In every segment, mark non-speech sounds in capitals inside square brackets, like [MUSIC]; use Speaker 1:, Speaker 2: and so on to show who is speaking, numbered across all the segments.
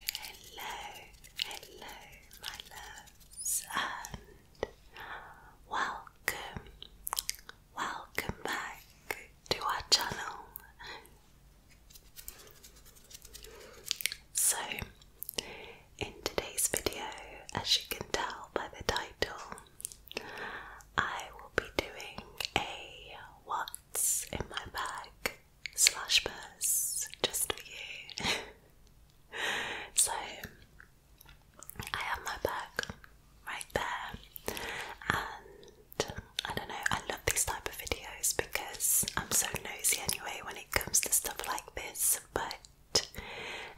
Speaker 1: Hello, hello, my loves, and welcome, welcome back to our channel. So, in today's video, as you can tell by the title, I will be doing a What's in My Bag slash purse just for you. [LAUGHS] so I have my bag right there, and I don't know, I love these type of videos because I'm so nosy anyway when it comes to stuff like this, but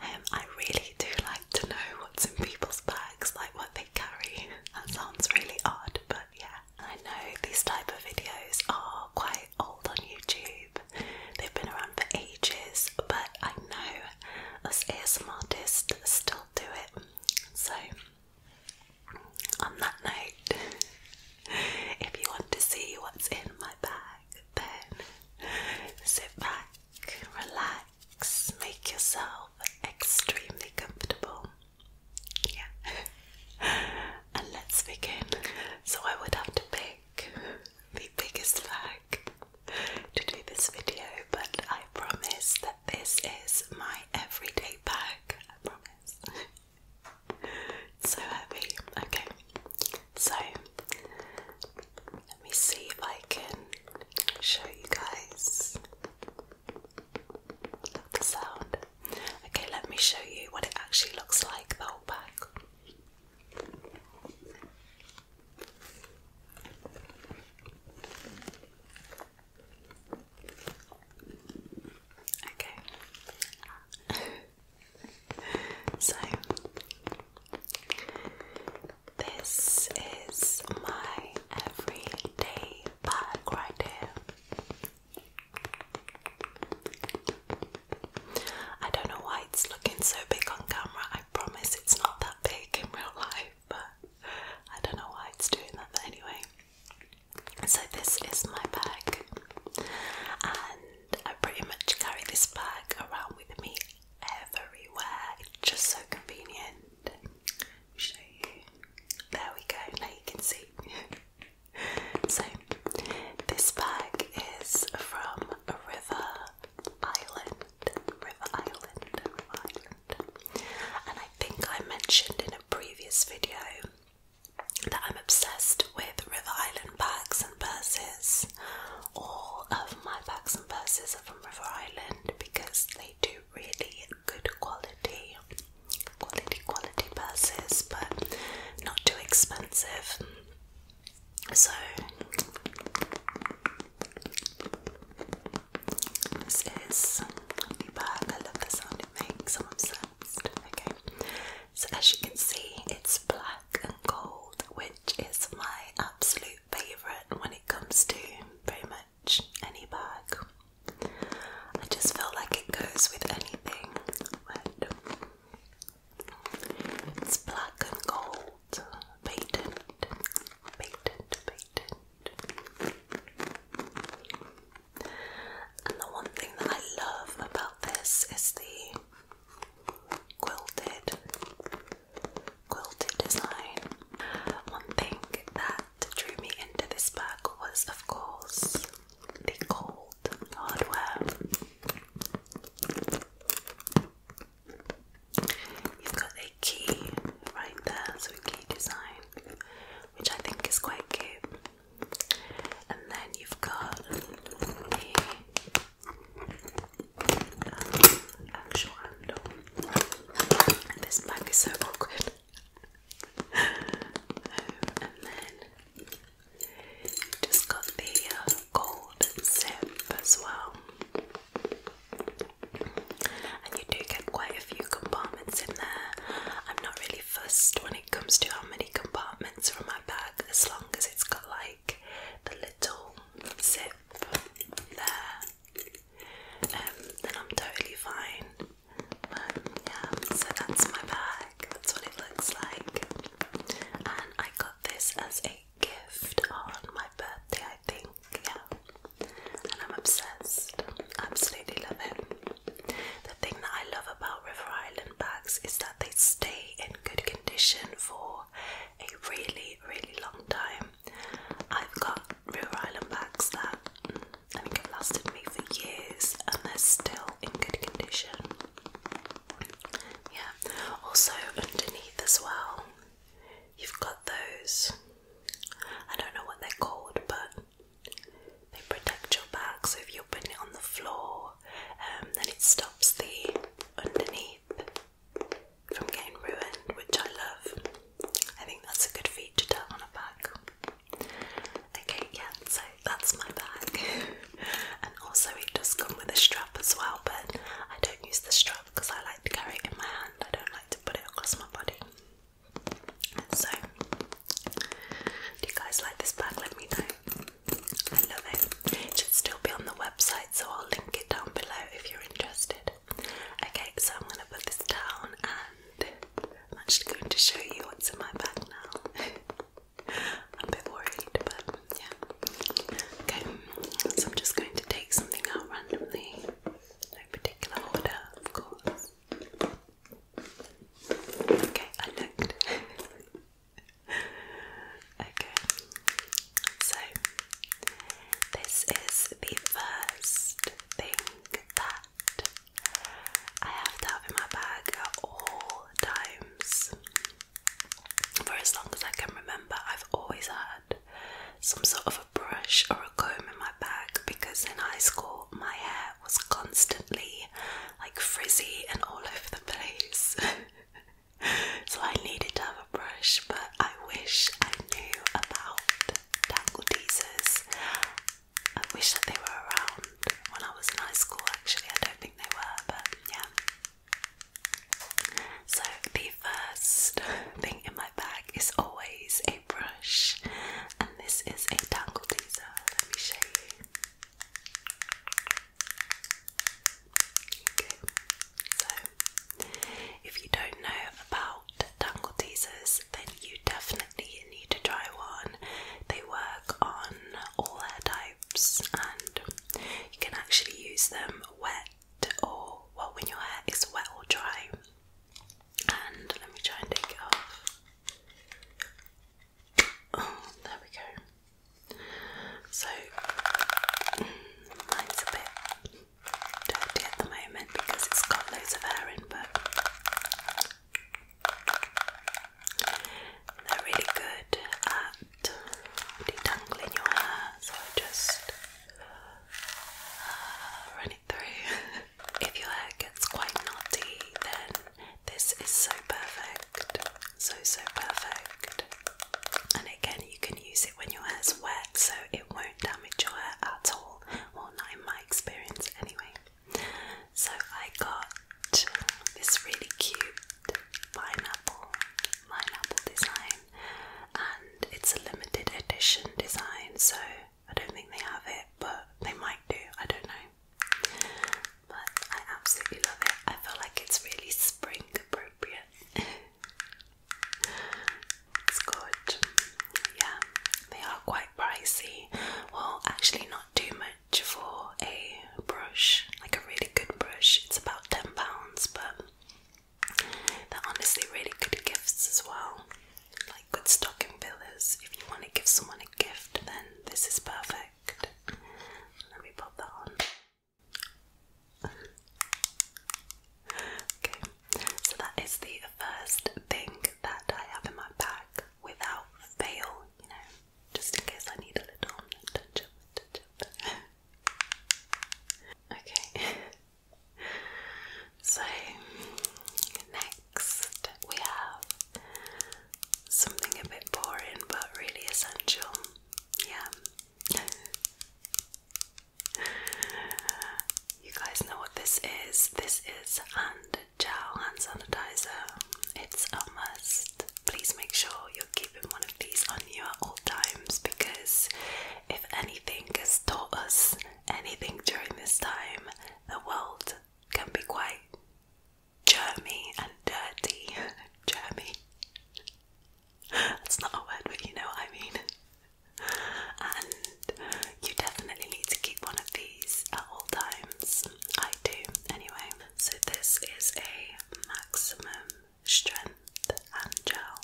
Speaker 1: um, I really do like to know what's in people's bags, like what they carry. [LAUGHS] That sounds really odd, but yeah. I know these type of videos are quite old on YouTube. They've been around for ages, but I know us ASM artists still do it. So on that note, [LAUGHS] if you want to see what's in my bag, then sit back, relax, make yourself extremely comfortable, yeah. [LAUGHS] and let's begin. So I would have to pick the biggest bag to do this video, but I promise that this is my everyday bag. I promise. [LAUGHS] so heavy. Okay. So let me see if I can show you guys. Love the sound. Okay, let me show you what it actually looks like the whole pack. Okay. [LAUGHS] so this is my everyday bag right here. I don't know why it's looking so big on camera. I promise it's not that big in real life, but I don't know why it's doing that. But anyway, so this is my bag, and I pretty much carry this bag around with me everywhere. It's just so convenient. Show you. There we go. Now you can see. [LAUGHS] so this bag is from River Island. River Island, River Island. And I think I mentioned in a previous video that I'm obsessed with River Island bags and purses. All of my bags and purses are from River Island because they do really good quality quality quality purses but not too expensive so this is the bag I love the sound it makes I'm obsessed okay so as you can see it's black and gold which is my absolute favorite when it comes to pretty much any bag I just feel like it goes with anything It's black and gold, patent, patent, patent. And the one thing that I love about this is the quilted, quilted design. One thing that drew me into this bag was, of course, the cold hardware. You've got a key right there, so key design, which I think is quite cute. And then you've got the um, actual handle. this bag is so awkward and then just got the uh, gold sip as well. And you do get quite a few compartments in there. I'm not really fussed when it comes to how many compartments are my bag, as long as it's got like the little zip there. Um, then I'm totally fine yeah, so that's my bag. That's what it looks like. And I got this as a gift on my birthday, I think. Yeah. And I'm obsessed. Absolutely love it. The thing that I love about River Island bags is that they stay in good condition for a really, really long time. I've got River Island bags that I think it lasted me for years and they're still in good condition. Yeah, also underneath as well, you've got those. I don't know what they're called, but they protect your back. So if you're putting it on the floor, um, then it stops the underneath from getting ruined, which I love. I think that's a good feature to have on a bag. Okay, yeah, so that's my bag. [LAUGHS] and also it does come with a strap as well, but I don't use the strap because I like to carry it in my hand. I don't like to put it across my body. So do you guys like this bag? Let me know. I love it. It should still be on the website, so I'll link it down below if you're interested. Okay, so I'm gonna put this down and I'm just going to show you what's in my bag now. [LAUGHS] I'm a bit worried, but yeah. Okay, so I'm just going to take something out randomly. No particular order, of course. Okay, I looked. [LAUGHS] okay, so this is the first thing that I have to have in my bag at all times. For as long as I can remember, I've always had some sort of a brush or a comb in my bag because in high school my hair was constantly like frizzy and all over the place. [LAUGHS] so I needed to have a brush, but I wish I knew about tangle teasers I wish that they were around when I was in high school, actually. I don't think they were, but yeah. So, the first [LAUGHS] thing in my bag is always a brush, and this is a tangle teaser. Let me show you. Okay, so if you don't know about tangle teasers, then you definitely you need to try one. They work on all hair types and you can actually use them wet or well when your hair is wet or dry. And let me try and take it off. Oh, there we go. So mm, mine's a bit dirty at the moment because it's got loads of hair in, but they're really good at detangling your hair, so just uh, run it through. [LAUGHS] if your hair gets quite knotty, then this is so perfect. So, so perfect. And again, you can use it when your hair's wet, so it won't damage your hair at all. Well, not in my experience, anyway. So I got this really cute pineapple pineapple design and it's a limited edition design so I don't think they have it but they might do, I don't know. But I absolutely love it. I feel like it's really spring appropriate. [LAUGHS] it's good yeah, they are quite pricey. Well, actually, not too much for a brush, like a really good brush. It's about £10, but they're honestly really good gifts as well. Like good stocking fillers. If you want to give someone a gift, then this is perfect. Let me pop that on. [LAUGHS] Okay. So that is the first thing that I have in my bag without fail, you know, just in case I need a little touch up, [LAUGHS] okay. [LAUGHS] So next we have something a bit boring but really essential. Yeah. [LAUGHS] You guys know what this is. This is and gel hand sanitizer. It's a must. Please make sure you're keeping one of these on you at all times because if anything has taught us anything during this time, the world can be quite germy and dirty. [LAUGHS] germy. That's not a word, but you know what I mean and you definitely need to keep one of these at all times. I do, anyway. So, this is a maximum strength gel.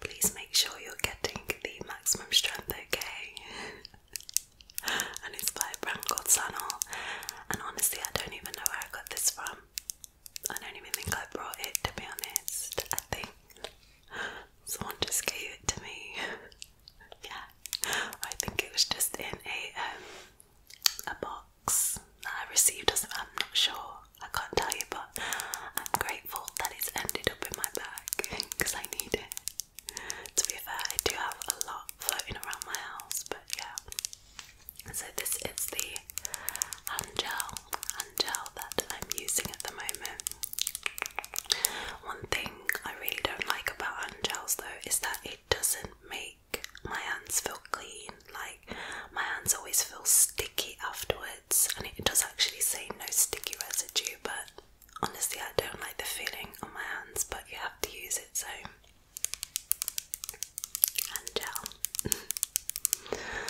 Speaker 1: Please make sure you're getting the maximum strength, okay? [LAUGHS] and it's by brand called And honestly, I don't even know where I got this from. I don't even think I brought it to be honest. I think someone just gave it to me. [LAUGHS] yeah, I think it was just in a um, a box that I received. I'm not sure. I can't tell you, but I'm grateful that it's ended up in my bag because I need it. To be fair, I do have a lot floating around my house, but yeah. So this is the hand gel, hand gel that I'm using at the moment. One thing I really don't like about hand gels though is that it doesn't make my hands feel clean. Like my hands always feel sticky afterwards, and it does actually say no sticky residue, but honestly, I don't like the feeling on my hands, but you have to use it so. Hand gel. [LAUGHS]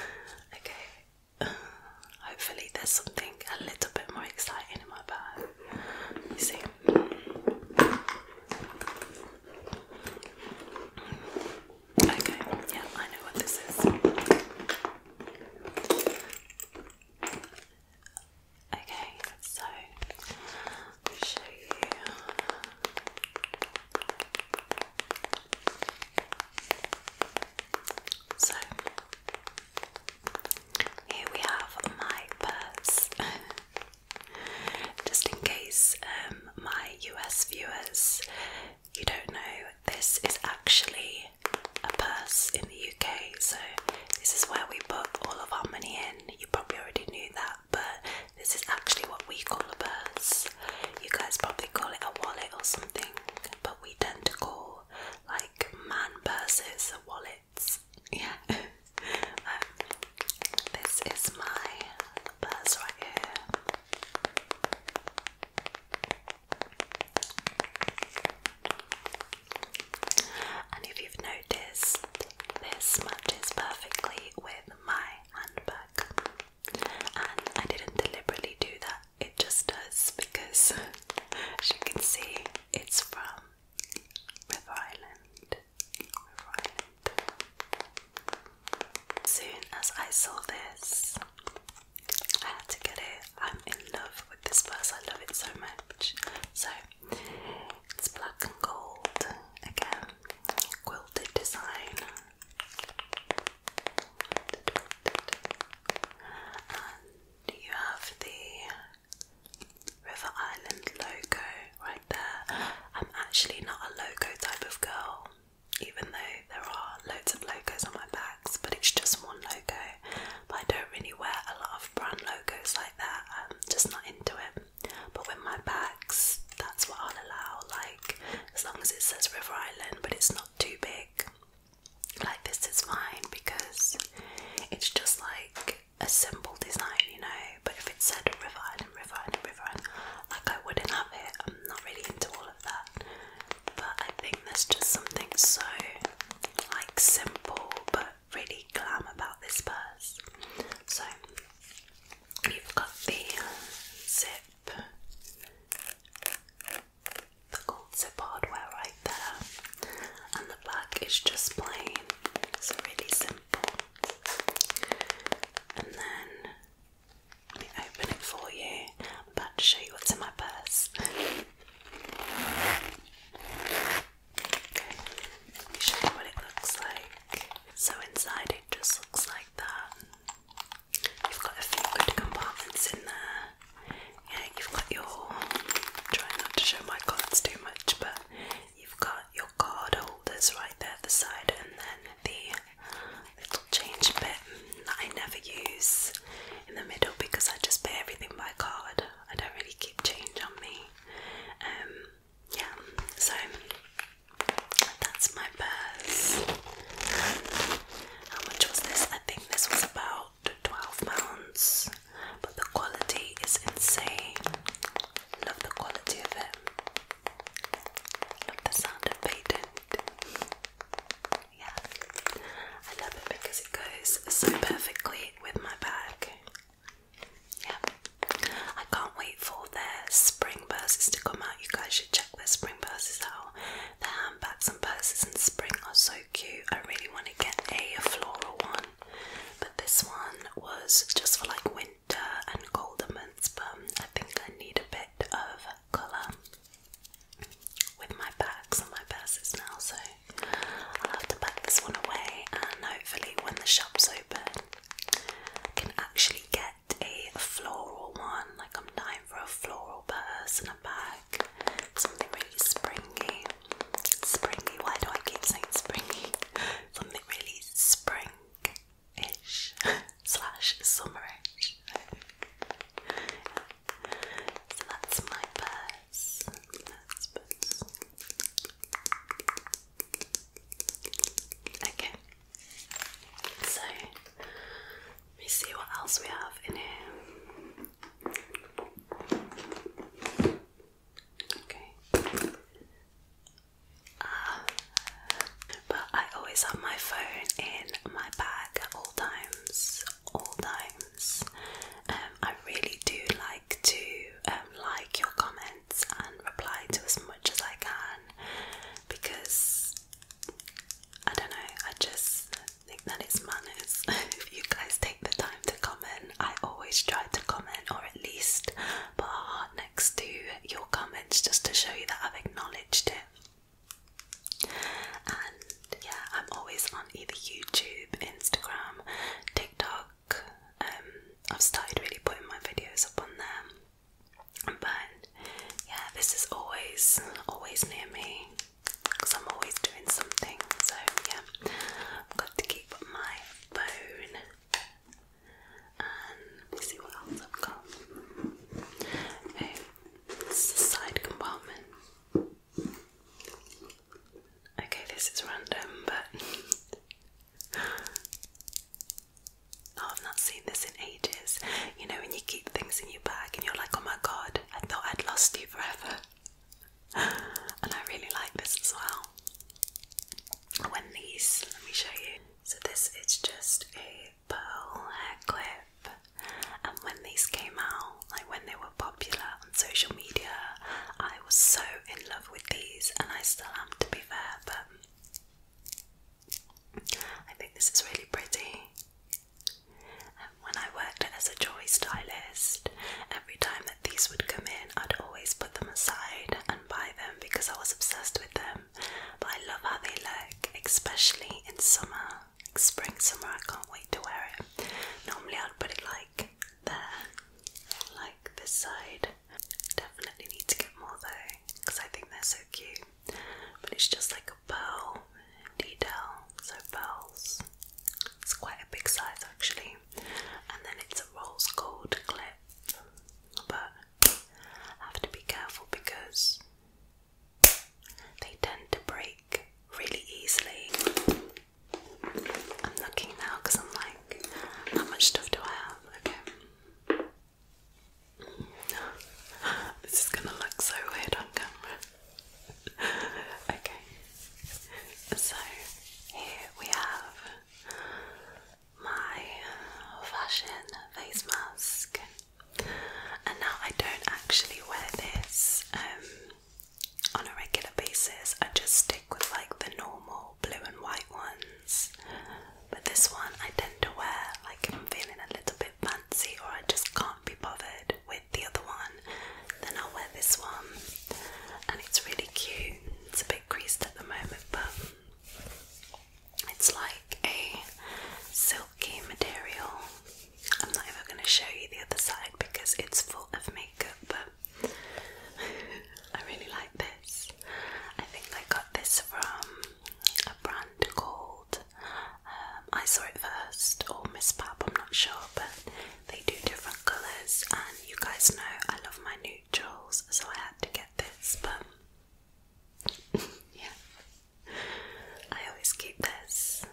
Speaker 1: okay. Hopefully, there's something a little bit more exciting in my bag. You see. Okay, yeah, I know what this is. Okay, so show you. So here we have my purse. [LAUGHS] Just in case um, my US viewers, you don't know, this is actually a purse in the UK. So this is where we put all of our money in. You probably already knew that, but this is actually what we call a purse. You guys probably call it a wallet or something, but we tend to call like man purses, wallets. Yeah. [LAUGHS] this is my purse right here. And if you've noticed, this matches perfectly with my handbag. And I didn't deliberately do that it just does because, as you can see, it's from River Island. River Island. Soon as I saw this, I had to get it. I'm in love with this purse, I love it so much. So, it's black and gold again, quilted design do you have the River Island logo right there? I'm actually not a logo type of girl, even though there are loads of logos on my backs, but it's just one logo. I don't really wear a lot of brand logos like that, I'm just not into it. But with my bags, that's what I'll allow, like as long as it says River Island, but it's not too big like this is fine because it's just like a simple design, you know. But if it said River Island, River Island, River like I wouldn't have it. I'm not really into all of that. But I think there's just something so like simple but really glam about this purse. So you've got the zip the gold zip hardware right there, and the black is just plain. It's really simple. And then let me open it for you. about to show you what's in my purse. Okay, let me show you what it looks like. So inside it just looks like that. You've got a few good compartments in there yeah, you've got your. Try not to show my cards too much, but you've got your card holders right there the side, and then the little change bit that I never use in the middle because I just pay everything by card. I don't really keep change on me. Um, yeah, so that's my purse. how much was this? I think this was about dropped £12, but the quality is insane. Love the quality of it. Love the sound of patent. Yeah, I love it because it goes so perfectly with my bag. Yeah, I can't wait for their spring purses to come out. You guys should check their spring purses out. Their handbags and purses in spring are so cute. I really want to get a floral one, but this one was just for like winter and colder months. But I think I need a bit of colour with my bags and my purses now, so I'll have to pack this one away. And hopefully, when the shop's open, I can actually get a floral one. Like I'm dying for a floral purse and a bag. Something really springy. Springy, why do I keep saying springy? [LAUGHS] Something really spring-ish [LAUGHS] slash summerish. So that's my purse. Okay. So let me see what else we have in here. Okay. Uh, but I always have my phone in my bag at all times. All times. Um, I really do like to um, like your comments and reply to as much as I can because I don't know, I just think that it's manners [LAUGHS] if you guys take the time to comment. I always try to comment or at least put a heart next to your comments just to show you that I've acknowledged it. And yeah, I'm always on either YouTube, Instagram, TikTok. Um, I've started really putting my videos up on there. But yeah, this is always, always near me because I'm always doing something, so yeah, I've got to keep my phone. And let's see what else I've got. Okay, oh, this is side compartment. Okay, this is random, but. [LAUGHS] Oh, I've not seen this in ages you know, when you keep things in your bag and you're like, oh my god, I thought I'd lost you forever. [GASPS] And I really like this as well. When these, let me show you. So, this is just a pearl hair clip. And when these came out, like when they were popular on social media, I was so in love with these, and I still am to be fair, but I think this is really pretty when I worked as a joy stylist, every time that these would come in, I'd always put them aside and buy them because I was obsessed with them. But I love how they look, especially in summer, spring, summer. I can't wait to wear it. Normally, I'd put it like there, like this side. Definitely need to get more though because I think they're so cute but it's just like a pearl detail, so pearls. It's quite a big size actually, and then it's a rose gold clip, but have to be careful because they tend to break really easily. I'm looking now because I'm like, how much stuff do I have? Okay. [LAUGHS] This is gonna look so weird on camera. [LAUGHS] okay, so here we have my fashion face mask, and now I don't actually wear this um, on a regular basis, I just stick with like the normal blue and white ones. But this one I tend to wear like I'm feeling a little bit fancy or I just can't be bothered with the other one. Then I'll wear this one, and it's really cute. It's a bit creased at the moment, but it's like a silky material. I'm not ever going to show you the other side because it's full of makeup, but [LAUGHS] I really like this. I think I got this from a brand called. Um, I saw it first, or Miss Pap, I'm not sure, but they do different colours. And you guys know I love my neutrals, so I had to get this. But [LAUGHS] yeah, I always keep this,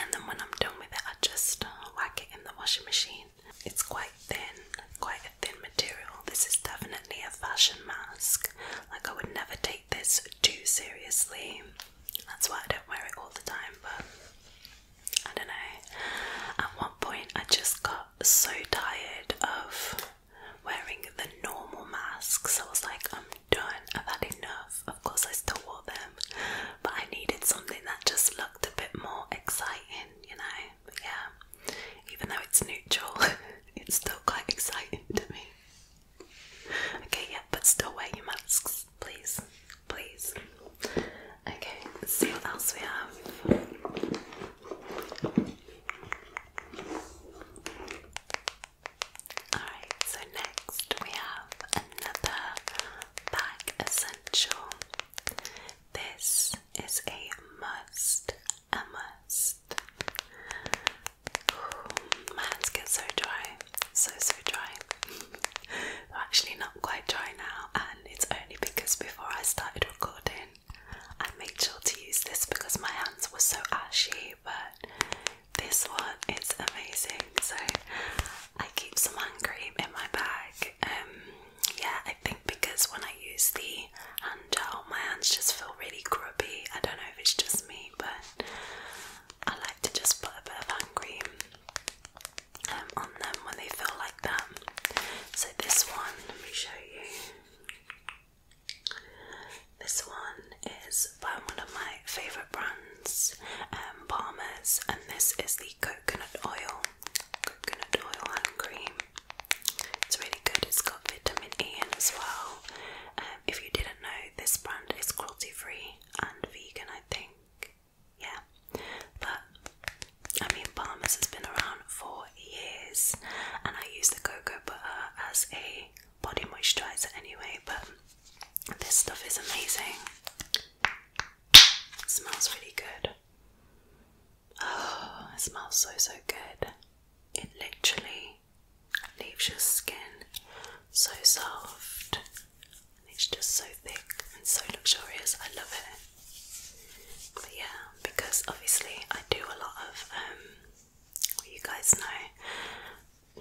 Speaker 1: and then when I'm done with it, I just uh, whack it in the washing machine. It's quite thin, quite a thin material. This is definitely a fashion mask. Like I would never take this too seriously. That's why I don't wear it all the time, but I don't know. At one point, I just got so tired of wearing the normal masks. I was like, I'm done, I've had enough. Of course, I still wore them, but I needed something that just looked a bit more exciting, you know? yeah, even though it's neutral, [LAUGHS] it's still quite exciting to me. Okay, yeah, but still wear your masks, please. Please. Okay, see what else we have. Alright, so next we have another bag essential. This is a must, a must. My hands get so dry, so so dry. They're [LAUGHS] actually not quite dry now, and it's only because before I started recording, I made sure to use this because my hands were so ashy. But this one is amazing, so I keep some hand cream in my bag. Um, yeah, I think because when I use the hand gel, my hands just feel really grubby. I don't know if it's just me, but I like to just put a bit of hand cream um, on them when they feel like that. So, this one, let me show you. This one is by one of my favourite brands, um, Palmer's, and this is the coconut oil, coconut oil hand cream. It's really good, it's got vitamin E as well. Um, if you did did this brand is cruelty free and vegan, I think. Yeah, but I mean, Palmer's has been around for years, and I use the cocoa butter as a body moisturizer anyway. But this stuff is amazing, smells really good. Oh, it smells so so good. It literally leaves your skin so soft and it's just so thick and so luxurious. I love it. But yeah, because obviously I do a lot of um you guys know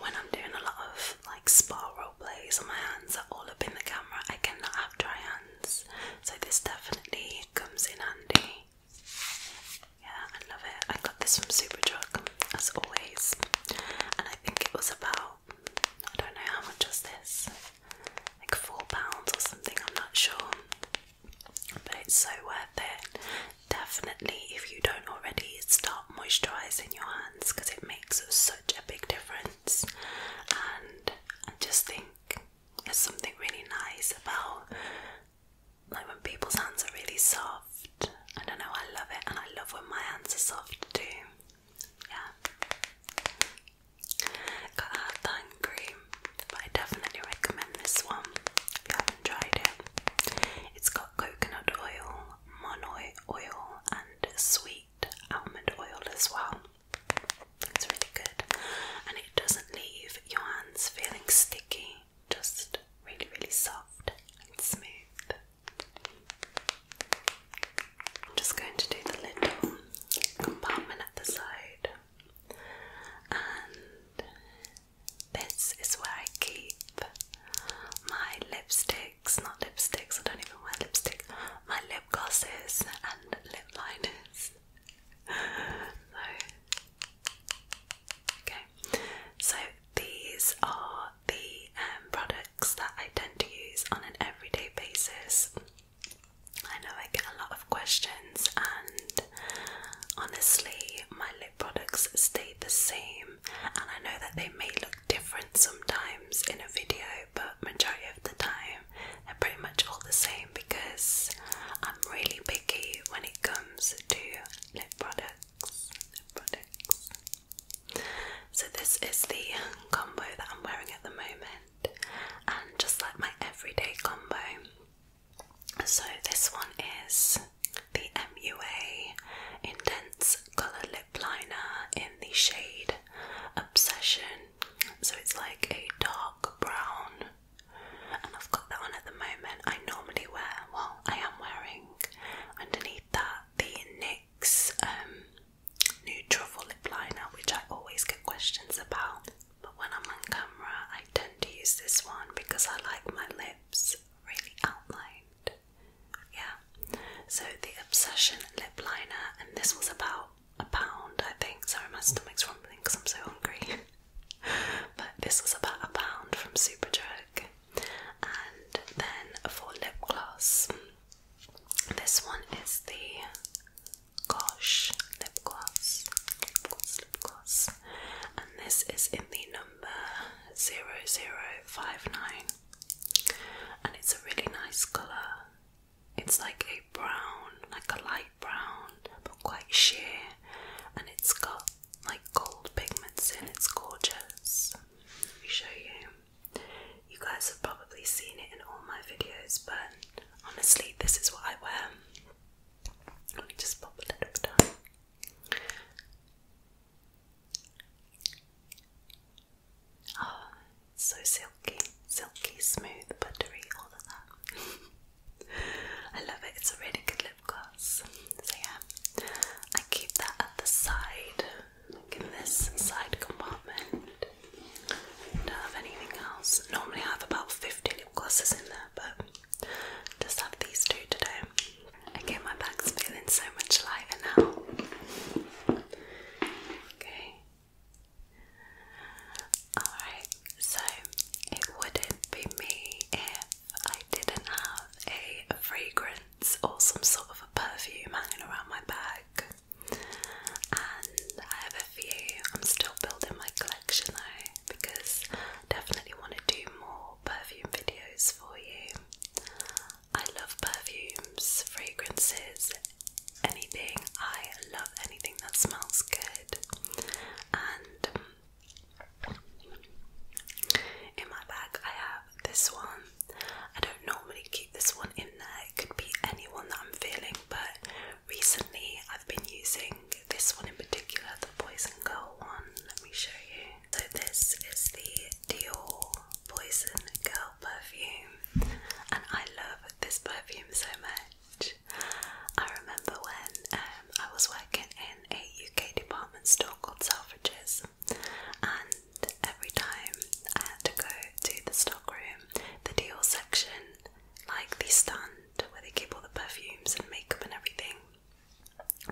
Speaker 1: when I'm doing a lot of like spa role plays and my hands are all up in the camera, I cannot have dry hands. So this definitely comes in handy. Yeah, I love it. I got this from Superdrug, as always. And I think it was about, I don't know how much was this, like £4 or something, I'm not sure. But it's so worth it. Definitely, if you don't already, start moisturising your hands because it makes such a big difference. And I just think there's something really nice about like when people's hands are really soft. I don't know, I love it, and I love when my hands are soft too. Yeah. Got a hard time I definitely recommend this one if you haven't tried it. It's got coconut oil, monoy oil, and sweet almond oil as well. It's really good, and it doesn't leave your hands feeling sticky just really, really soft and smooth. I'm just going to do the little compartment at the side, and this is where I keep my lipsticks, not lipsticks, I don't even wear lipstick, my lip glosses and lip liners. [LAUGHS] So Okay, so these are the um, products that I tend to use on an everyday basis. I know I get a lot of questions, and honestly, my lip products stay the same. And I know that they may look different sometimes in a video, but majority of the time, they're pretty much all the same because I'm really picky when it comes to lip products. So this is the combo that I'm wearing at the moment, and just like my everyday combo. So this one is the MUA Intense Colour Lip Liner in the shade Obsession. So it's like a dark brown and I've got that on at the moment. I normally wear, well, I am wearing underneath that the NYX um, new truffle lip liner, which I always get questions about. But when I'm on camera, I tend to use this one because I like my lips really outlined. Yeah, so the Obsession lip liner, and this was about a pound, I think. Sorry, my stomach's rumbling because I'm so hungry. [LAUGHS] but this was about a pound from Superdrug. And then for lip gloss, this one is the Gosh lip gloss. Lip gloss, And this is in the number 0059. And it's a really nice colour. It's like a brown, like a light brown, but quite sheer and it's got like gold pigments in. It's gorgeous. Let me show you. You guys have probably seen it in all my videos, but honestly, this is what I wear. Let me just pop a little bit on. Ah, so silky, silky, smooth, buttery, all of that. [LAUGHS] I love it, it's a really good lip gloss. So, yeah, I keep that at the side, like in this side compartment. Don't have anything else. Normally, I have about 50 lip glosses in there, but just have these two today. Okay, my bag's feeling so much lighter now. Okay. Alright, so it wouldn't be me I didn't have a fragrance or some sort of a perfume hanging around my bag. And I have a few. I'm still building my collection though because definitely want to do more perfume videos for you. I love perfumes, fragrances, anything. I love anything that smells good. And in my bag, I have this one. I don't normally keep this one in there, it could be anyone that I'm feeling, but recently I've been using this one in particular, the Poison Girl one. Let me show you. So, this is the Dior Poison Girl perfume, and I love this perfume so much. I remember when um, I was working in a UK department store called Selfridges, and every time I had to go to the stockroom, the deal section, like the stand where they keep all the perfumes and makeup and everything,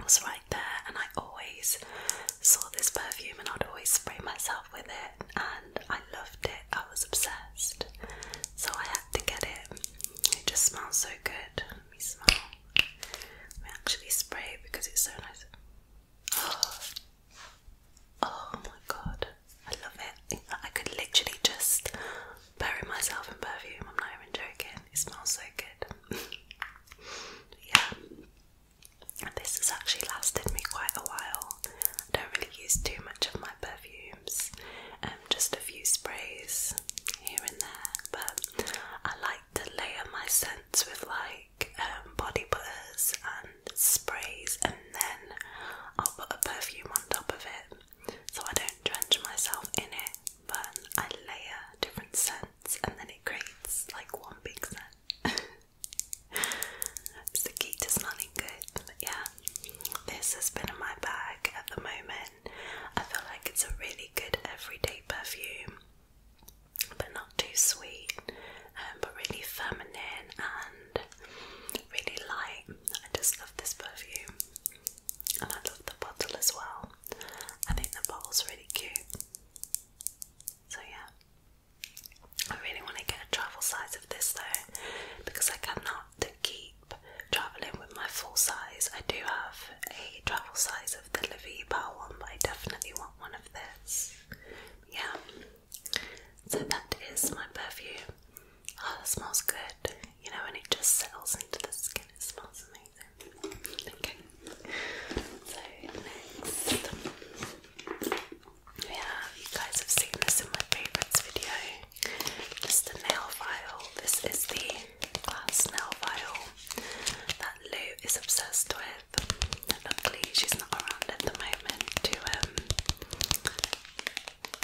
Speaker 1: was right there. And I always saw this perfume, and I'd always spray myself with it, and I loved it. I was obsessed, so I had to get it. It just smells so good. Let me smell. Let me actually spray because it's so nice. [GASPS] oh my god, I love it. I could literally just bury myself in perfume. I'm not even joking. It smells so good. [LAUGHS] yeah, this has actually lasted me quite a while. I don't really use too much of my perfumes, um, just a few sprays here and there, but I like to layer my scents with like um, body butters and sprays, and then I'll put a perfume on top of it so I don't drench myself in it, but I layer different scents and then it creates like one big scent. [LAUGHS] the key to smelling good, yeah. This has been in my bag at the moment. I feel like it's a really good everyday perfume, but not too sweet, um, but really feminine and really light. I just love this perfume, and I love the bottle as well. I think the bottle's really cute. So, yeah. I really want to get a travel size of this though because I cannot keep traveling with my full size. I do have a travel size of the Levipa one, but I definitely want one of this. Yeah. So that is my perfume. Oh, smells good. You know, when it just settles into the skin, it smells amazing. Okay. So next, yeah, you guys have seen this in my favourites video. This is the nail file. This is the glass nail file that Lou is obsessed with. Luckily, she's not around at the moment to um,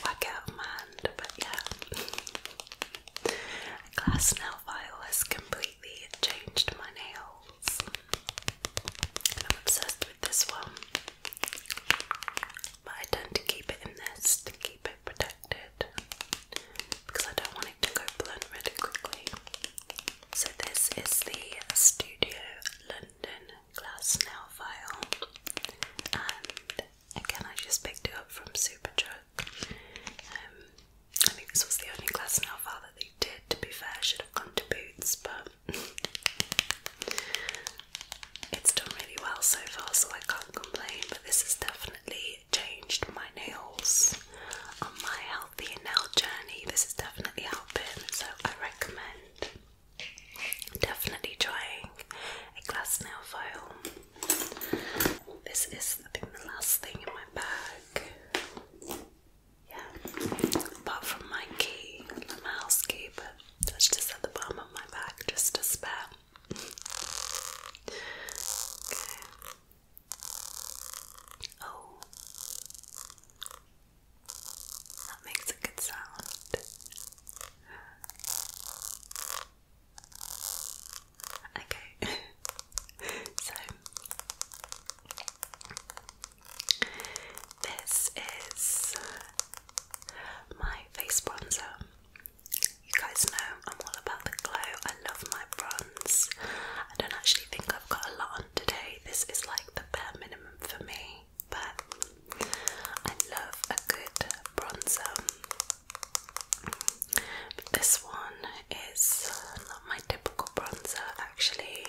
Speaker 1: work out my hand, but yeah. [LAUGHS] glass nail file has completely changed my nails. I'm obsessed with this one. But I tend to keep it in this to keep it protected because I don't want it to go blunt really quickly. So this is the Studio London Glass Nail File, and again I just picked it up from Superdrug. Um, I think this was the only glass nail file that they did. To be fair, I should have gone to Boots, but. [LAUGHS] It's done really well so far, so I can't complain. But this is definitely changed my nails on my healthy nail journey. This is definitely helping, so I recommend definitely trying a glass nail file. This is, I think, the last thing in my bag. Yeah, apart from my key, my house key, but that's just at the bottom of my bag, just a spare okay. Oh. That makes a good sound. Okay. [LAUGHS] so this is my face bronzer. You guys know I'm all about the glow. I love my bronze. I don't actually think I've got a lot on today. This is like the bare minimum for me, but I love a good bronzer. this one is not my typical bronzer actually.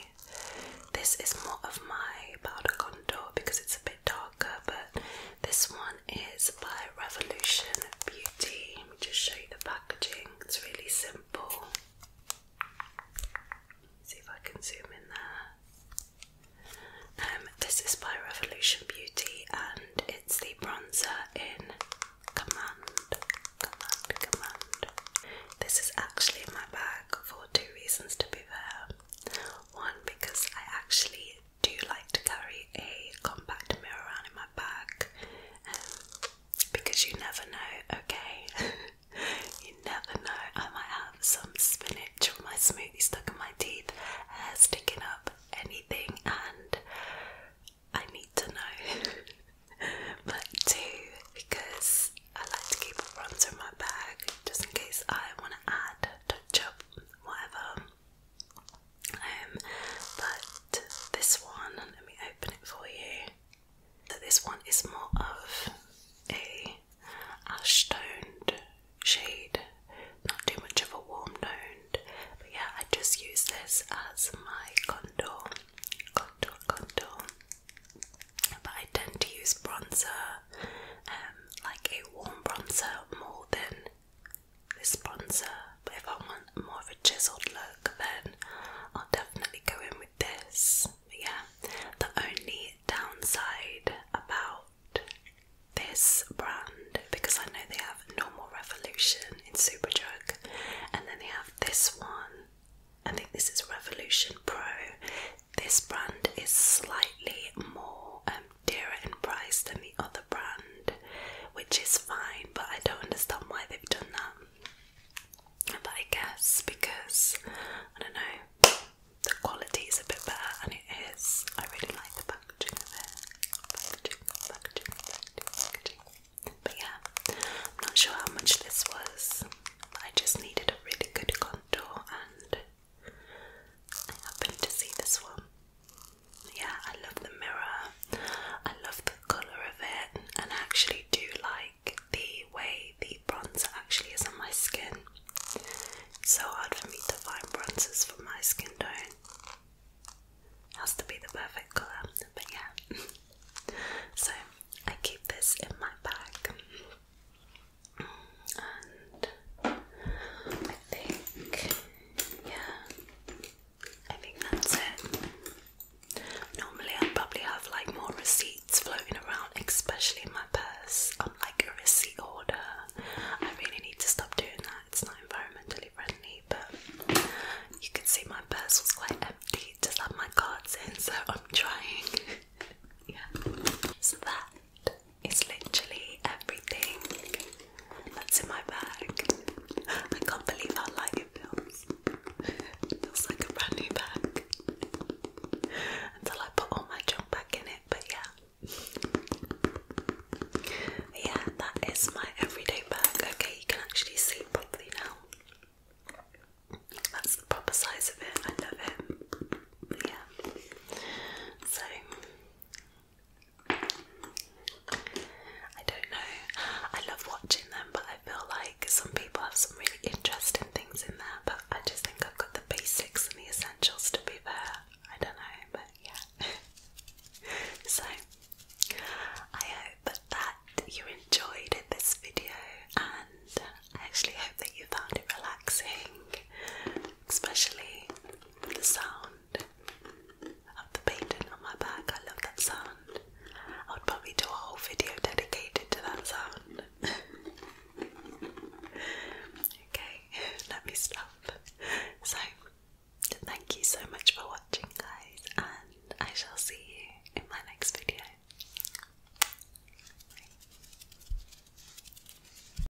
Speaker 1: This is more of my powder contour because it's a bit darker, but this one one is by Revolution Beauty. Let me just show you the packaging. It's really simple. See if I can zoom in there. Um, this is by Revolution Beauty and it's the bronzer in Command. Command, Command. This is actually in my bag for two reasons to be fair. One, because I actually do like to carry a compact mirror around in my bag um, because you never know, okay? [LAUGHS] you never know. I might have some spinach or my smoothie stuck in my teeth, sticking up, anything, and I need to know. [LAUGHS] but two, because I like to keep a bronzer in my bag just in case I want to add, touch up, whatever. Um, but this one, let me open it for you. So this one is more of a ash toned shade, not too much of a warm toned. But yeah, I just use this as my contour, contour, contour. But I tend to use bronzer, um, like a warm bronzer, more than this sponsor. but if I want more of a chiseled look, then I'll definitely go in with this. But yeah, the only downside about this brand, because I know they have Normal Revolution in Superdrug, and then they have this one. I think this is Revolution Pro. This brand is slightly more um, dearer in price than the other brand, which is fine, but I don't understand why they've done that. But I guess because I don't know, the quality is a bit better, and it is. I really like the packaging of it. But yeah, I'm not sure how much this was. I just needed a really good contour and I happened to see this one. Yeah, I love the mirror. I love the colour of it, and actually do like the way the bronzer actually is on my skin. so hard for me to find bronzers for my skin tone. has to be the perfect colour, but yeah. [LAUGHS] so I keep this in my bag. I think, yeah, I think that's it. Normally, i probably have like more receipts floating around, especially in my purse. I'm like a receipt order. I really need to stop doing that. It's not environmentally friendly, but you can see my purse was quite empty. Just had my cards in, so I'm trying. [LAUGHS] yeah. So that it's literally everything that's in my bag. I can't believe how light it feels. feels like a brand new bag. Until I put all my junk back in it, but yeah. Yeah, that is my everyday bag. Okay, you can actually see properly now. That's the proper size of it. I love it. Yeah. So I don't know. I love watching them, but I feel like some people have some really interesting things in there, but I just think I've got the basics and the essentials to be there. I don't know, but yeah. [LAUGHS] so, I hope that you enjoyed this video, and I actually hope that you found it relaxing especially the sound of the painting on my back. I love that sound. I would probably do a whole video dedicated to that sound. [LAUGHS] okay, [LAUGHS] let me stop. So, thank you so much for watching, guys, and I shall see you in my next video.